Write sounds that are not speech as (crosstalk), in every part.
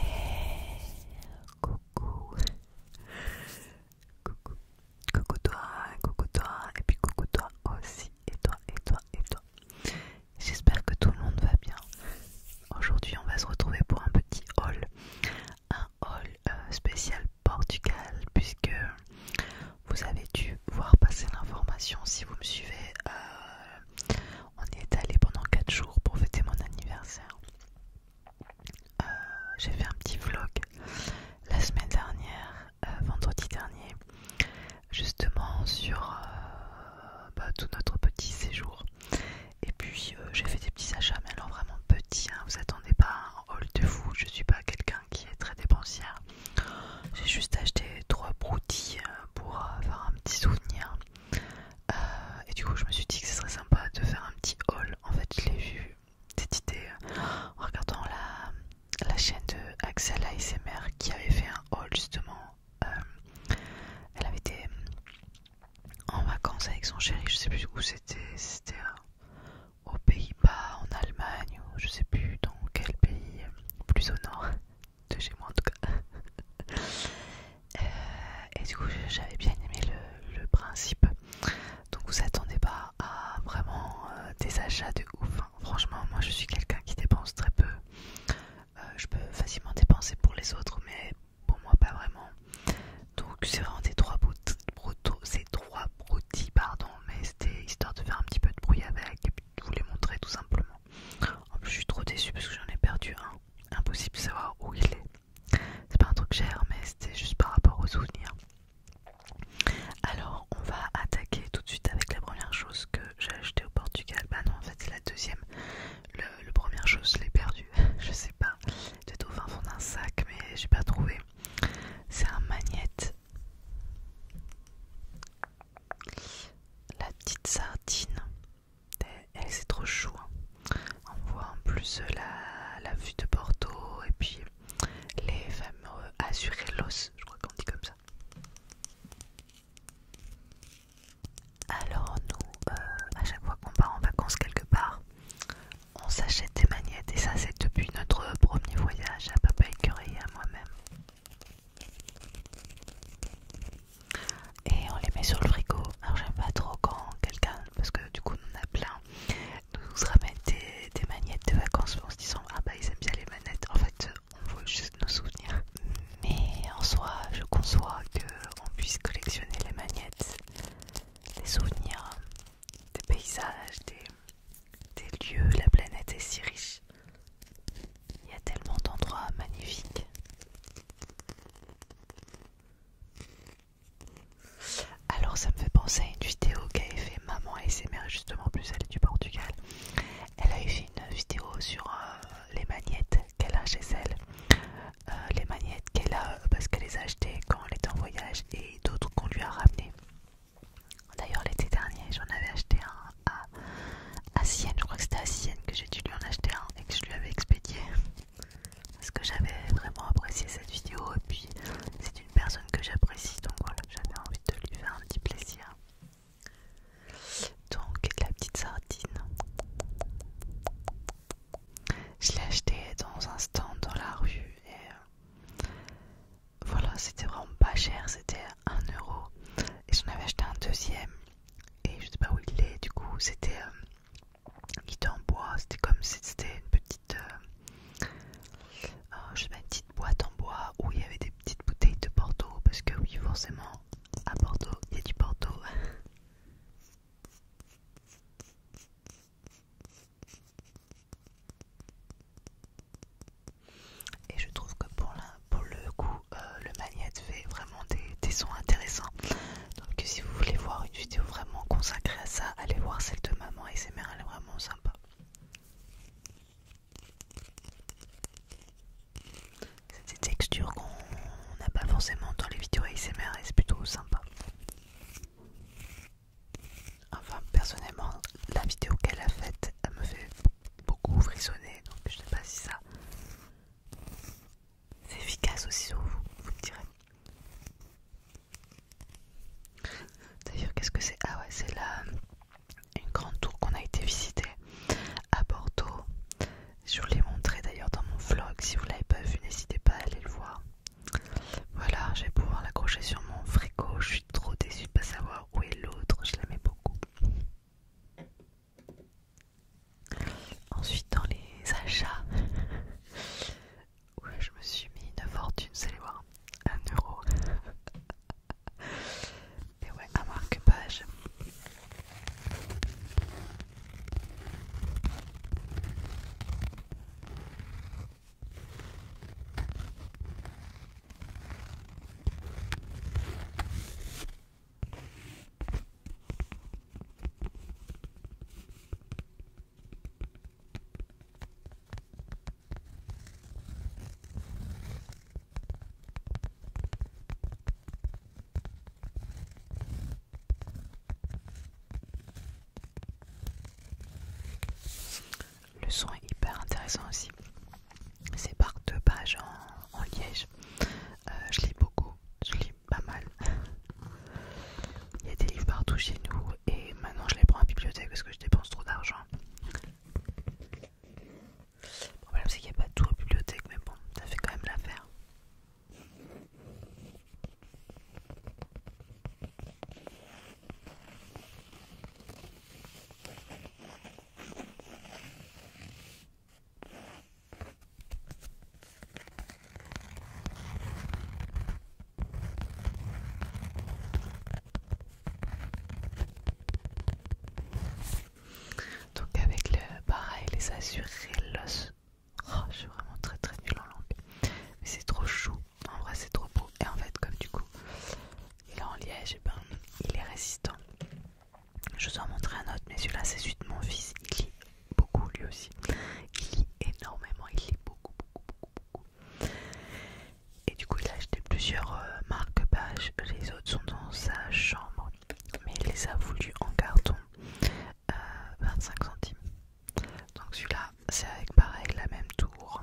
Et coucou, coucou, coucou toi, coucou toi, et puis coucou toi aussi, et toi, et toi, et toi. J'espère que tout le monde va bien. Aujourd'hui, on va se retrouver pour un petit haul, un haul euh, spécial Portugal, puisque vous avez dû voir passer l'information si vous me suivez. Euh, on est allé pendant 4 jours pour fêter mon anniversaire. Euh, j'ai fait un petit vlog la semaine dernière, euh, vendredi dernier, justement sur euh, bah, tout notre petit séjour. Et puis j'ai fait des petits achats, mais alors vraiment petits, hein. vous attendez pas un haul de fou, je suis pas quelqu'un qui est très dépensière. J'ai juste acheté trois broutilles pour avoir faire un petit souvenir euh, et du coup, je me suis dit que ce serait sympa de faire un petit haul. En fait, je l'ai vu, cette idée, en regardant la, la chaîne de Axel ASMR qui avait fait un haul justement. Euh, elle avait été en vacances avec son chéri, je sais plus où c'était, c'était euh, aux Pays-Bas, en Allemagne, ou je sais plus dans quel pays plus au nord de chez moi en tout cas. Euh, et du coup, j'avais bien aimé le, principe. Donc, vous attendez pas à vraiment euh, des achats de ouf. Hein. Franchement, moi je suis quelqu'un qui dépense très peu. Euh, je peux facilement dépenser pour les autres, mais pour moi pas vraiment. Donc, c'est vraiment des trois brotos, ces trois broutilles, pardon, mais c'était histoire de faire un petit peu de bruit avec et de vous les montrer tout simplement. En plus, je suis trop déçue parce que j'en ai perdu un impossible de savoir où il est. C'est pas un truc cher, mais c'était juste par rapport aux souvenirs. Alors, on va attaquer tout de suite avec la première chose que j'ai acheté au Portugal. Bah non, en fait, c'est la deuxième. Le, première chose, je l'ai perdue. (laughs) je sais pas. C'était au fin fond d'un sac, mais j'ai pas trouvé. C'est un magnète. La petite sardine c'est trop chou. Hein. On voit en plus euh, la, vue de Porto et puis les fameux l'os, je crois qu'on dit comme ça. Alors nous, euh, à chaque fois qu'on part en vacances quelque part, on s'achète des manettes. et ça c'est depuis notre premier voyage à Papa Curie et à moi-même et on les met sur le frigo. Alors j'aime pas trop quand quelqu'un, parce que du coup on en a plein, nous ramène des, des de vacances en se disant ah bah ils aiment bien les manettes. En fait on veut juste nos souvenirs. Mais en soi je conçois qu'on puisse collectionner les magnettes, Les souvenirs, des paysages, des, des lieux, la planète est si riche. Il y a tellement d'endroits magnifiques. Alors ça me fait penser à une vidéo qu'avait fait maman et ses mères, justement plus elle est du Portugal. Elle a fait une vidéo sur euh, les magnettes qu'elle a chez elle. Euh, les magnettes qu'elle a euh, parce qu'elle les a achetées quand elle était en voyage et d'autres qu'on lui a ramenées. D'ailleurs l'été dernier j'en avais acheté un à, à Sienne, je crois que c'était à Sienne que j'ai dû lui en acheter un et que je lui avais expédié parce que j'avais vraiment apprécié cette vidéo et puis c'est une personne que j'apprécie donc voilà j'avais envie de lui faire un petit plaisir donc la petite sardine je l'ai acheté dans un stand dans la rue et euh, voilà c'était vraiment pas cher c'était 1€ et j'en avais acheté un deuxième et je sais pas où il est du coup c'était euh, qui était en bois, c'était comme si c'était une petite, euh, euh, je petite boîte en bois où il y avait des petites bouteilles de porto parce que oui forcément à Porto, il y a du porto. Et je trouve que pour, pour le coup, euh, le magnète fait vraiment des, sons intéressants. Donc si vous voulez voir une vidéo vraiment consacrée à ça, allez voir celle de maman ASMR, elle est vraiment sympa. C'est des textures qu'on n'a pas forcément dans les vidéos ASMR et c'est plutôt sympa. Enfin personnellement la vidéo qu'elle a faite elle me fait beaucoup frissonner donc je sais pas si ça c'est efficace aussi vous, vous me direz. D'ailleurs, qu'est-ce que c'est Ah ouais, c'est la une grande tour qu'on a été visiter à Bordeaux. Je vous l'ai montré d'ailleurs dans mon vlog. Si vous l'avez pas vu, n'hésitez pas à aller le voir. Voilà, je vais pouvoir l'accrocher sur mon frigo. Je suis trop déçue de pas savoir où est l'autre. Je l'aimais beaucoup. Ensuite, dans les achats, (laughs) ouais, je me suis mis une fortune, c'est allez voir, 1 euro. Et (laughs) ouais, un marque-page. Le son est hyper intéressant aussi. C'est par deux pages en, liège. Euh, je lis beaucoup pas mal. Il y a des livres partout chez nous et maintenant je les prends à la bibliothèque parce que je dépense trop d'argent. Le problème c'est qu'il n'y a pas tout à la bibliothèque mais bon, ça fait quand même l'affaire. Donc avec le pareil les azurellos. Oh, je suis vraiment très très nulle en langue. Mais c'est trop chou. En vrai, c'est trop beau. Et en fait, comme du coup, il est en liège, et eh ben, il est résistant. Je vous en montrer un autre, mais celui-là c'est celui de mon fils. Il lit beaucoup lui aussi. Il lit énormément, il lit beaucoup, beaucoup, beaucoup, beaucoup. Et du coup, il a acheté plusieurs euh, marque-pages. Les autres sont dans sa chambre, mais il les a voulu en carton 25 euh, centimes. Donc celui-là, c'est avec pareil la même tour.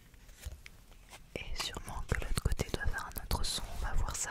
Et sûrement que l'autre côté doit faire un autre son, on va voir ça.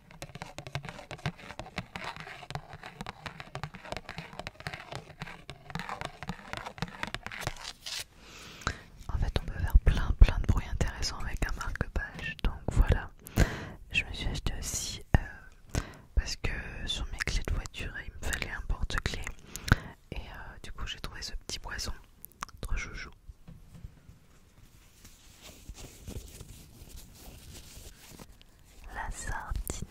En fait, on peut faire plein plein de bruits intéressants avec un marque-page. Donc voilà, je me suis acheté aussi euh, parce que sur mes clés de voiture, il me fallait un porte-clés. Et euh, du coup, j'ai trouvé ce petit poisson, trop joujou la sardine.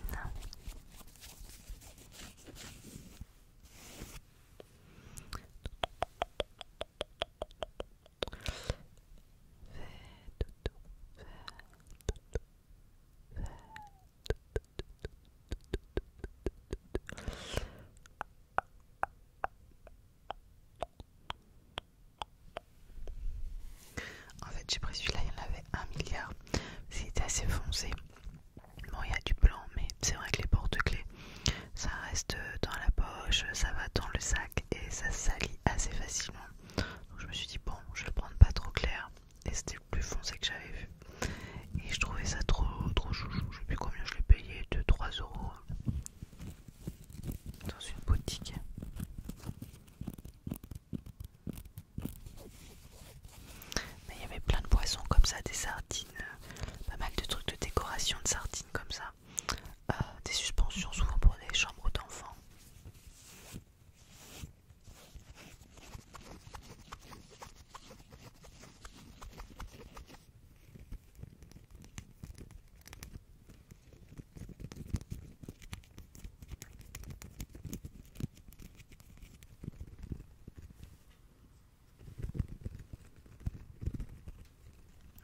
En fait, j'ai pris celui-là, il y en avait un milliard. C'était assez foncé. Bon, il y a du blanc, mais c'est vrai que les porte-clés, ça reste euh, dans la poche, ça va dans le sac et ça salit assez facilement. Donc, je me suis dit, bon, je vais le prendre pas trop clair. Et c'était le plus foncé que j'avais vu. Et je trouvais ça trop, trop chouchou. Je sais plus combien je l'ai payé, 2-3 euros dans une boutique. Mais il y avait plein de poissons comme ça, des sardines, euh, pas mal de trucs de décoration de sardines comme ça, euh, des suspensions souvent pour des chambres d'enfants.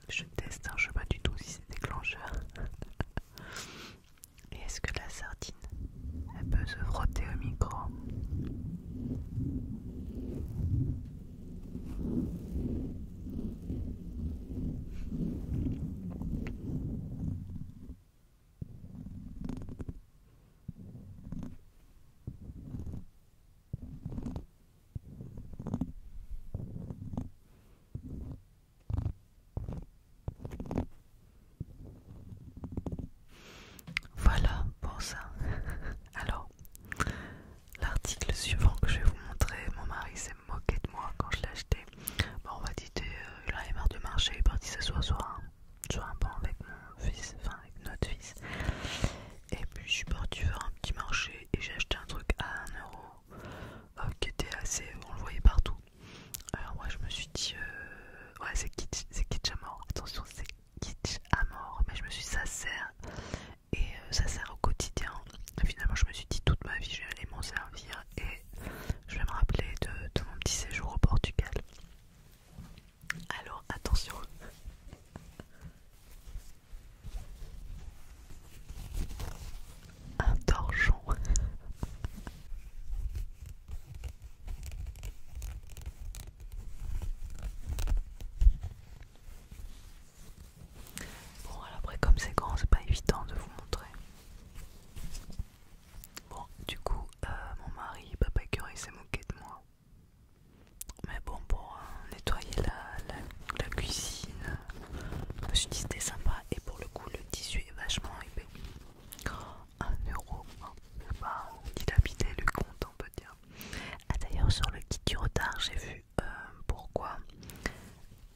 Je teste, un je sais pas du tout si c'est déclencheur. (laughs) Et est-ce que la sardine, elle peut se frotter au micro voilà pour ça. (laughs) Alors, l'article suivant que je vais vous montrer, mon mari moquette de moi quand je l'ai acheté. Bon, on va dire que là marre de marché, il est parti ce soir sur un banc avec mon fils, enfin avec notre fils. Et puis je suis parti faire un petit marché et j'ai acheté un truc à 1€ euro euh, qui était assez. on le voyait partout. Alors, moi je me suis dit, euh, ouais, c'est kitsch, à mort, attention, c'est kitsch à mort, mais je me suis dit, ça sert et euh, ça sert au quotidien. finalement, je me suis dit, toute ma vie, je vais aller m'en servir et je vais me rappeler de, mon petit séjour au Portugal. Alors attention. Un torchon. Bon, alors après, comme c'est grand, c'est pas évident de vous montrer. Bon, du coup, euh, mon mari, papa il s'est moqué de moi. Mais bon, pour euh, nettoyer la, cuisine, euh, je me suis dit c'était sympa. Et pour le coup, le tissu est vachement épais. 1 euro, hein. sais pas le compte, on peut dire. Ah, d'ailleurs, sur le kit du retard, j'ai vu pourquoi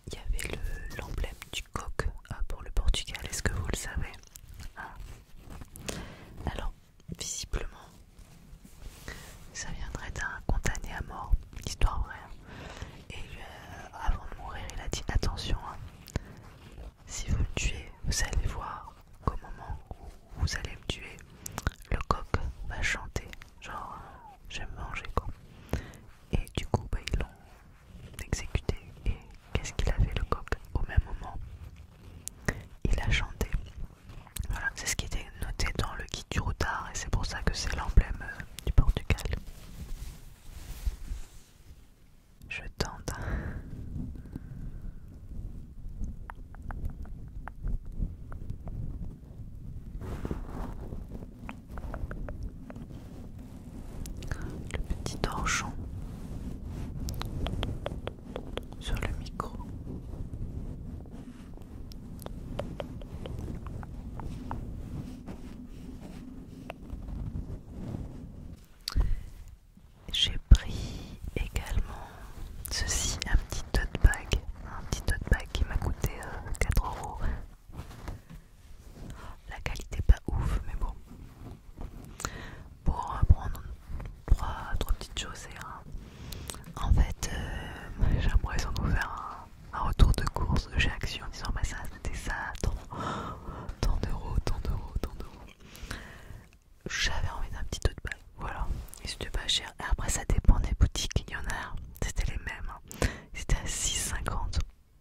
il y avait l'emblème du coq ah, pour le Portugal, est-ce que vous le savez ah. Alors, visiblement, ça viendrait d'un condamné à mort, l'histoire vraie. Hein. Et euh, avant de mourir, il a dit attention, hein, si vous me tuez, vous allez voir qu'au moment où vous allez me tuer, le coq va chanter, genre euh, j'aime manger quoi. Et du coup, bah, ils l'ont exécuté. Et qu'est-ce qu'il a fait le coq au même moment Il a chanté. Voilà, c'est ce qui était noté dans le guide du retard et c'est pour ça que c'est l'emblème euh, du Portugal. Je tente le petit torchon sur le micro. J'ai pris également ceci, un petit tote bag, un petit tote bag qui m'a coûté 4 euh, euros la qualité pas ouf, mais bon. Pour prendre trois, euh, trois petites choses, et en fait, euh, J'aimerais j'ai l'impression un, retour de course chez Action en disant bah ça c'était ça, tant, d'euros, tant d'euros, tant d'euros. J'avais envie d'un petit 2 de balle, voilà. Et c'était pas cher. Et après, ça dépend des boutiques, il y en a, c'était les mêmes. Hein. C'était à 6,50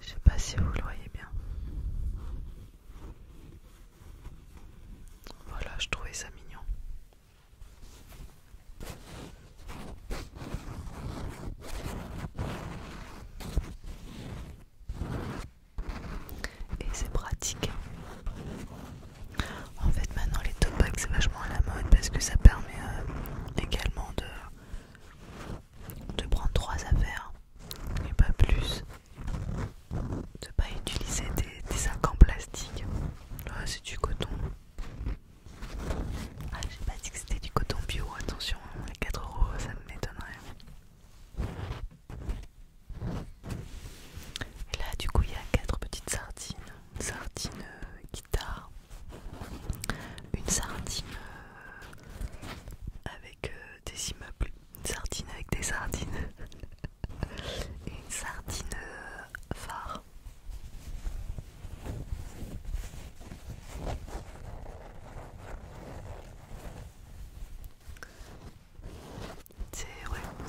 Je sais pas si vous le voyez bien. Voilà, je trouvais ça mignon. Et c'est pratique. En fait, maintenant les top c'est vachement à la mode parce que ça permet euh, également de de prendre trois affaires et pas plus de pas utiliser des, sacs en plastique c'est du coton ah, j'ai pas dit que c'était du coton bio attention hein, les 4 euros ça m'étonnerait et là du coup il y a quatre petites sardines une sardine euh, guitare une sardine euh, avec euh, des immeubles, une sardine avec des sardines et (laughs) une sardine euh, phare.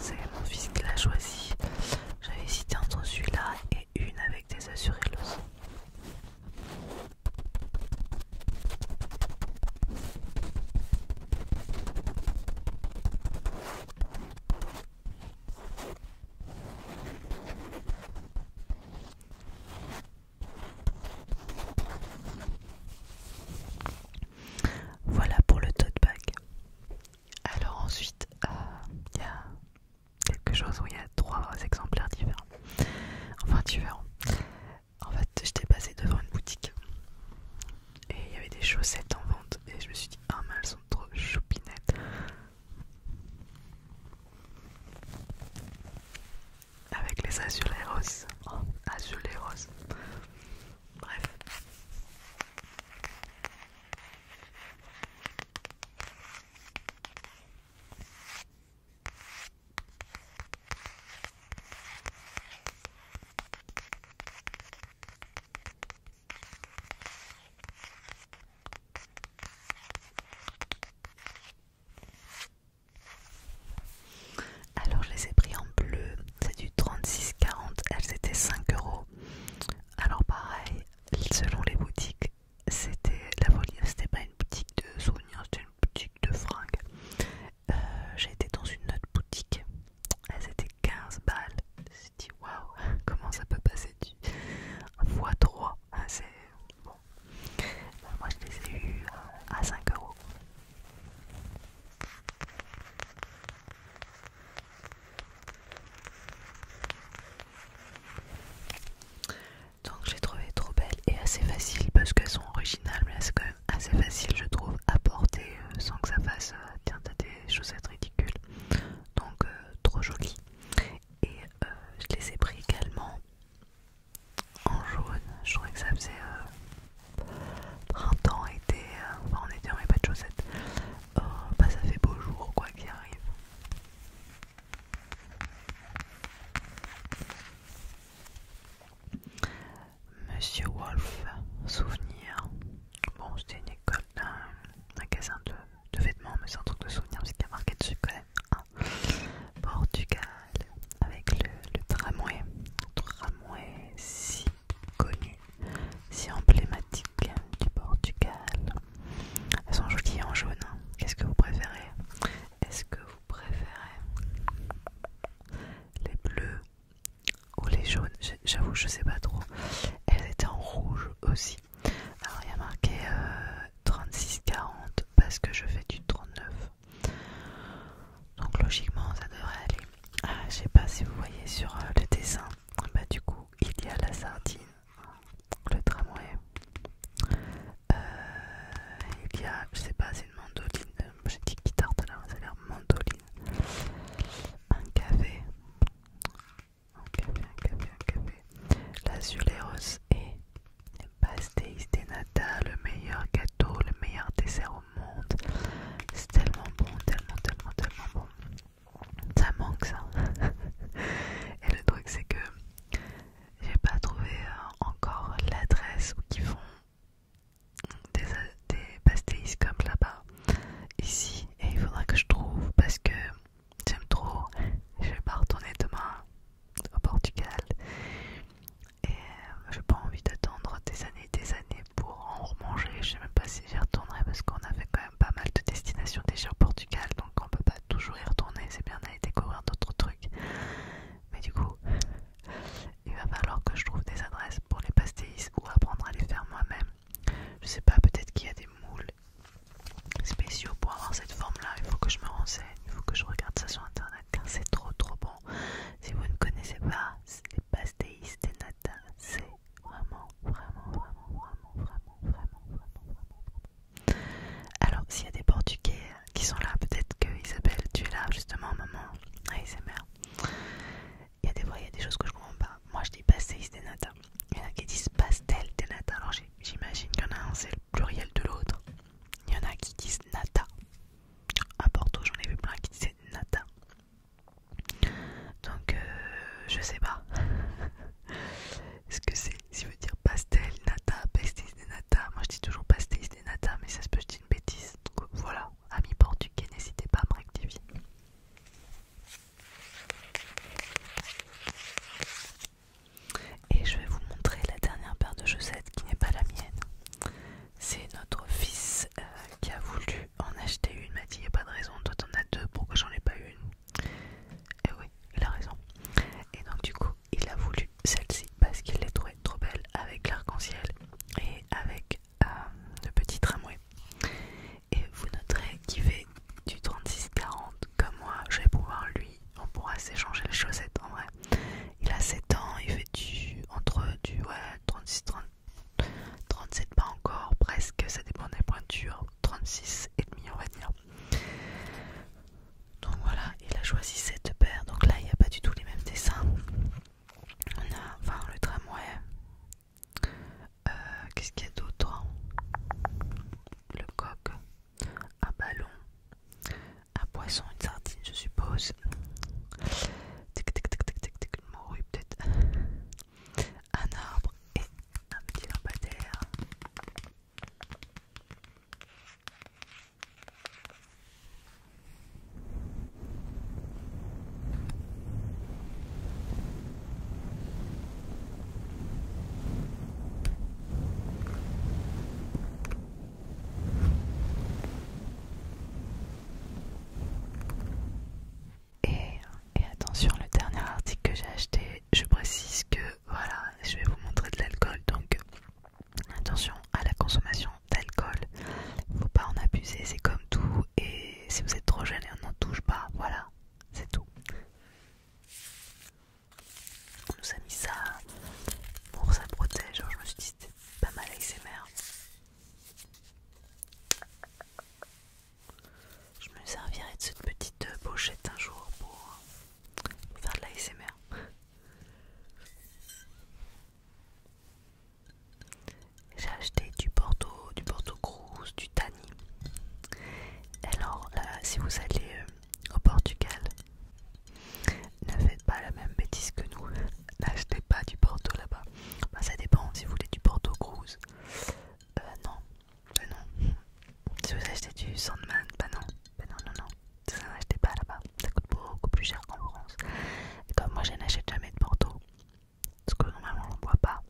C'est mon fils qui l'a choisi. J'avais hésité entre celui-là et une avec des assurés voilà pour le tote bag. Alors ensuite, euh, il y a quelque chose où il y a trois exemplaires différents. Enfin différents. En fait, j'étais passée devant une boutique et il y avait des chaussettes en vente et je me suis dit ah mais elles sont trop choupinettes. Avec les roses. oh, roses Bref. Alors je les ai pris en bleu, c'est du 36,40, elles étaient 5 euros. Alors pareil, selon les boutiques, c'était la folie, c'était pas une boutique de souvenirs, c'était boutique de fringues. Euh, j'ai été dans une autre boutique, elle c'était 15 balles. Je me dit waouh, (laughs) comment ça peut passer du x3 ah, C'est bon. Euh, moi je les ai eu euh, à 5 euros. Donc je j'ai trouvé trop belles et assez faciles parce qu'elles sont originales mais c'est quand même assez facile je trouve à porter euh, sans que ça fasse euh, tiens t'as des chaussettes ridicules. Donc euh, trop jolies. Et je les ai pris également en jaune. Je trouvais que ça faisait printemps, été, enfin en été on pas de chaussettes. Oh, bah ça fait beau jour quoi qu'il arrive. Monsieur Wolf, souvenir. Bon, c'était une école d'un magasin de, vêtements, mais c'est un truc de souvenir parce qu'il y a marqué dessus quand hein. Portugal, avec le, tramway. Tramway si connu, si emblématique du Portugal. Elles sont jolies en jaune. Hein. Qu'est-ce que vous préférez Est-ce que vous préféré Les bleus ou les jaunes J'avoue, je sais pas trop. Elles étaient en rouge aussi. Alors il y a marqué 36-40 euh, parce que je fais du 39. Donc logiquement, ça devrait aller. Ah, je sais pas si vous voyez sur euh, le dessin. Bah, du coup, il y a la sardine, le tramway, euh, il y a, je sais pas, c'est une mandoline. Euh, j'ai dit guitare tout ça a l'air mandoline. Un café. Un café, un café, un café. La zulérose et pastéis de nata, le meilleur gâteau, le meilleur dessert au monde. C'est tellement bon, tellement, tellement, tellement bon. Ça manque ça. (laughs) Et le truc c'est que j'ai pas trouvé euh, encore l'adresse où ils font des, euh, des comme là-bas ici et il faudra que je trouve parce que j'aime trop je vais pas retourner demain au Portugal et euh, j'ai pas envie d'attendre des années et des années pour en remanger je sais même pas si j'y retournerai parce qu'on avait quand même pas mal de destinations déjà au Portugal donc on peut pas toujours y retourner c'est bien d'aller découvrir d'autres trucs mais du coup, il va falloir que je trouve des adresses pour les pastéis ou apprendre à les faire moi-même. Je sais pas, peut-être qu'il y a des moules spéciaux pour avoir cette forme-là. Il faut que je me renseigne, il faut que je regarde ça sur internet car c'est trop trop bon. Si vous ne connaissez pas les pastéis des nata, c'est vraiment, vraiment, vraiment, vraiment, vraiment, vraiment, vraiment, vraiment. Alors, s'il y a des Portugais qui sont là. Peut-être que Isabelle, tu es là justement, maman. ASMR. Il y a des fois, il y a des choses que je comprends pas. Moi, je dis pastéis bah, des nata. Il y en a qui disent pastel bah, des nata. Alors j'imagine qu'il y en a un, c'est le pluriel de l'autre. Il y en a qui disent nata. À Porto, j'en ai vu plein qui disaient nata. Donc, euh, je sais pas (laughs) ce que c'est. Si veut dire pastel, nata, pastel moi je dis toujours pastéis des natas, mais ça se peut, je une bêtise. Donc euh, voilà, amis portugais, n'hésitez pas à me rectifier. Et je vais vous montrer la dernière paire de chaussettes qui n'est pas la mienne. C'est notre fils euh, qui a voulu en acheter une. M'a dit il n'y a pas de raison, toi t'en as deux, pourquoi j'en ai pas une Et eh oui, il a raison. Et donc du coup, il a voulu celle-ci parce qu'il l'est trouvée trop belle avec l'arc-en-ciel et avec euh, le petit tramway. Et vous noterez qu'il fait du 36-40 comme moi, je vais pouvoir lui, on pourra s'échanger les chaussettes en vrai. Il a 7 ans, il fait du entre du ouais, 36 30, 37 pas encore, presque, ça dépend des pointures, 36 et demi on va dire. Donc voilà, il a choisi cette paire. Donc là, il n'y a pas du tout les mêmes dessins. On a, enfin, le tramway. Euh, qu'est-ce qu'il y a d'autre hein Le coq, un ballon, un poisson, une sardine, je suppose. Tic tic tic tic tic tic, une morue peut-être. Un arbre et un petit lampadaire. Et, attention, le dernier article que j'ai acheté, je précise que voilà, je vais vous montrer de l'alcool, donc Attention à la consommation d'alcool, faut pas en abuser, c'est comme tout. Et si vous êtes trop jeune, on n'en touche pas. Voilà, c'est tout. On nous a mis ça pour ça protège. je me suis dit c'était pas mal ASMR. Je me servirai de cette petite pochette un jour pour, pour faire de l'ASMR. J'ai acheté du Porto du Porto Cruz, du Tani. Alors là, si vous allez euh, au Portugal, ne faites pas la même bêtise que nous. (laughs) N'achetez pas du Porto là-bas. Bah, ça dépend si vous voulez du Porto Cruz. Euh, non, bah, non. Si vous achetez du Sandman, bah, non, non, non, non ça n'achetait pas là-bas, ça coûte beaucoup plus cher qu'en France. Et comme moi je n'achète jamais de Porto, parce que normalement on ne boit pas,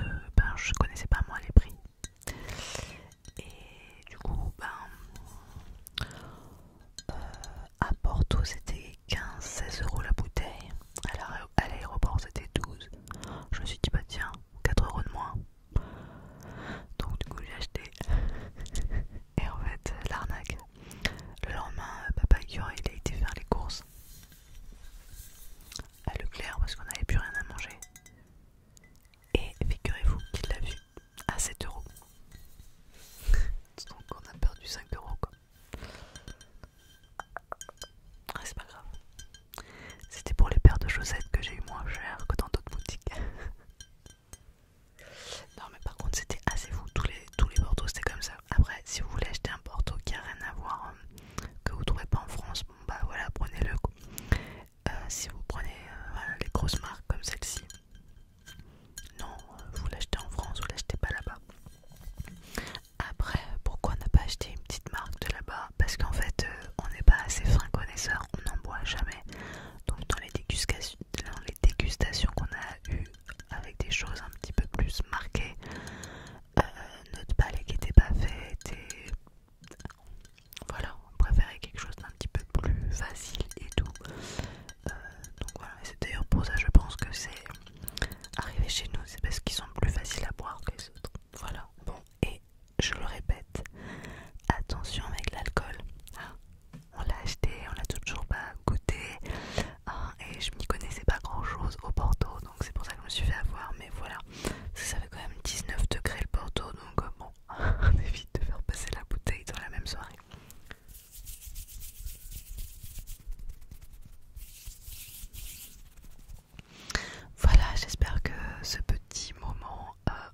euh, ben, je connaissais pas moi les prix. Et du coup, ben, euh, à Porto c'était 15-16 euros la bouteille, à l'aéroport c'était 12. Je me suis dit, bah tiens, 4 euros de moins, donc du coup j'ai acheté et en fait l'arnaque. Le lendemain euh, papa qui il a été faire les courses à Leclerc parce qu'on n'avait plus rien à manger. Et figurez-vous qu'il l'a vu à 7 euros. Donc on a perdu 5 euros quoi. c'est pas grave. C'était pour les paires de chaussettes que j'ai eu moins cher que dans d'autres boutiques. (laughs) Non mais par contre c'était assez fou, tous les, tous les c'était comme ça. Après si vous voulez acheter un porto qui n'a rien à voir, euh, que vous trouvez pas en France, bon bah voilà prenez-le. Euh, si vous prenez euh, les grosses marques comme celle-ci, non vous l'achetez en France, vous l'achetez pas là-bas. Après pourquoi on n'a pas acheté une petite marque de là-bas Parce qu'en fait on n'est pas assez fin connaisseur, on n'en boit jamais. Donc dans les dégustations les dégustations qu'on a eues avec des choses un petit peu plus marquées, euh, notre palais qui n'était pas fait était... Voilà, on préférait quelque chose d'un petit peu plus facile et tout. Euh, donc voilà, c'est d'ailleurs pour ça je pense que c'est arrivé chez nous, c'est parce qu'ils sont plus faciles à boire que les autres. Voilà, bon, et je le répète, attention avec l'alcool. Ah, on l'a acheté, on l'a toujours pas goûté hein, et je m'y connaissais pas grand chose au Porto donc c'est pour ça que je me suis fait avoir mais voilà ça fait quand même 19 degrés le Porto donc euh, bon (laughs) on évite de faire passer la bouteille dans la même soirée. Voilà, j'espère que ce petit moment euh,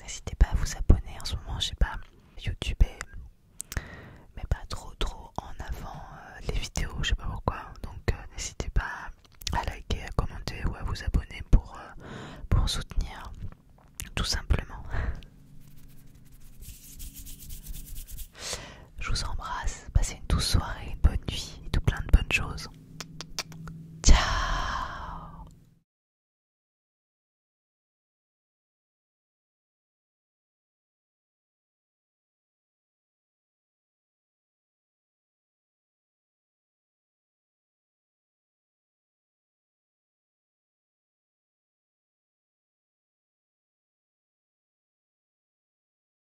N'hésitez pas à vous abonner en ce moment, je sais pas, YouTube mais pas trop trop en avant euh, les vidéos, je sais pas pourquoi. Donc euh, n'hésitez pas à liker, à commenter ou à vous abonner pour euh, soutenir tout simplement. Je vous embrasse. Passez une douce soirée, bonne nuit et tout plein de bonnes choses. Ciao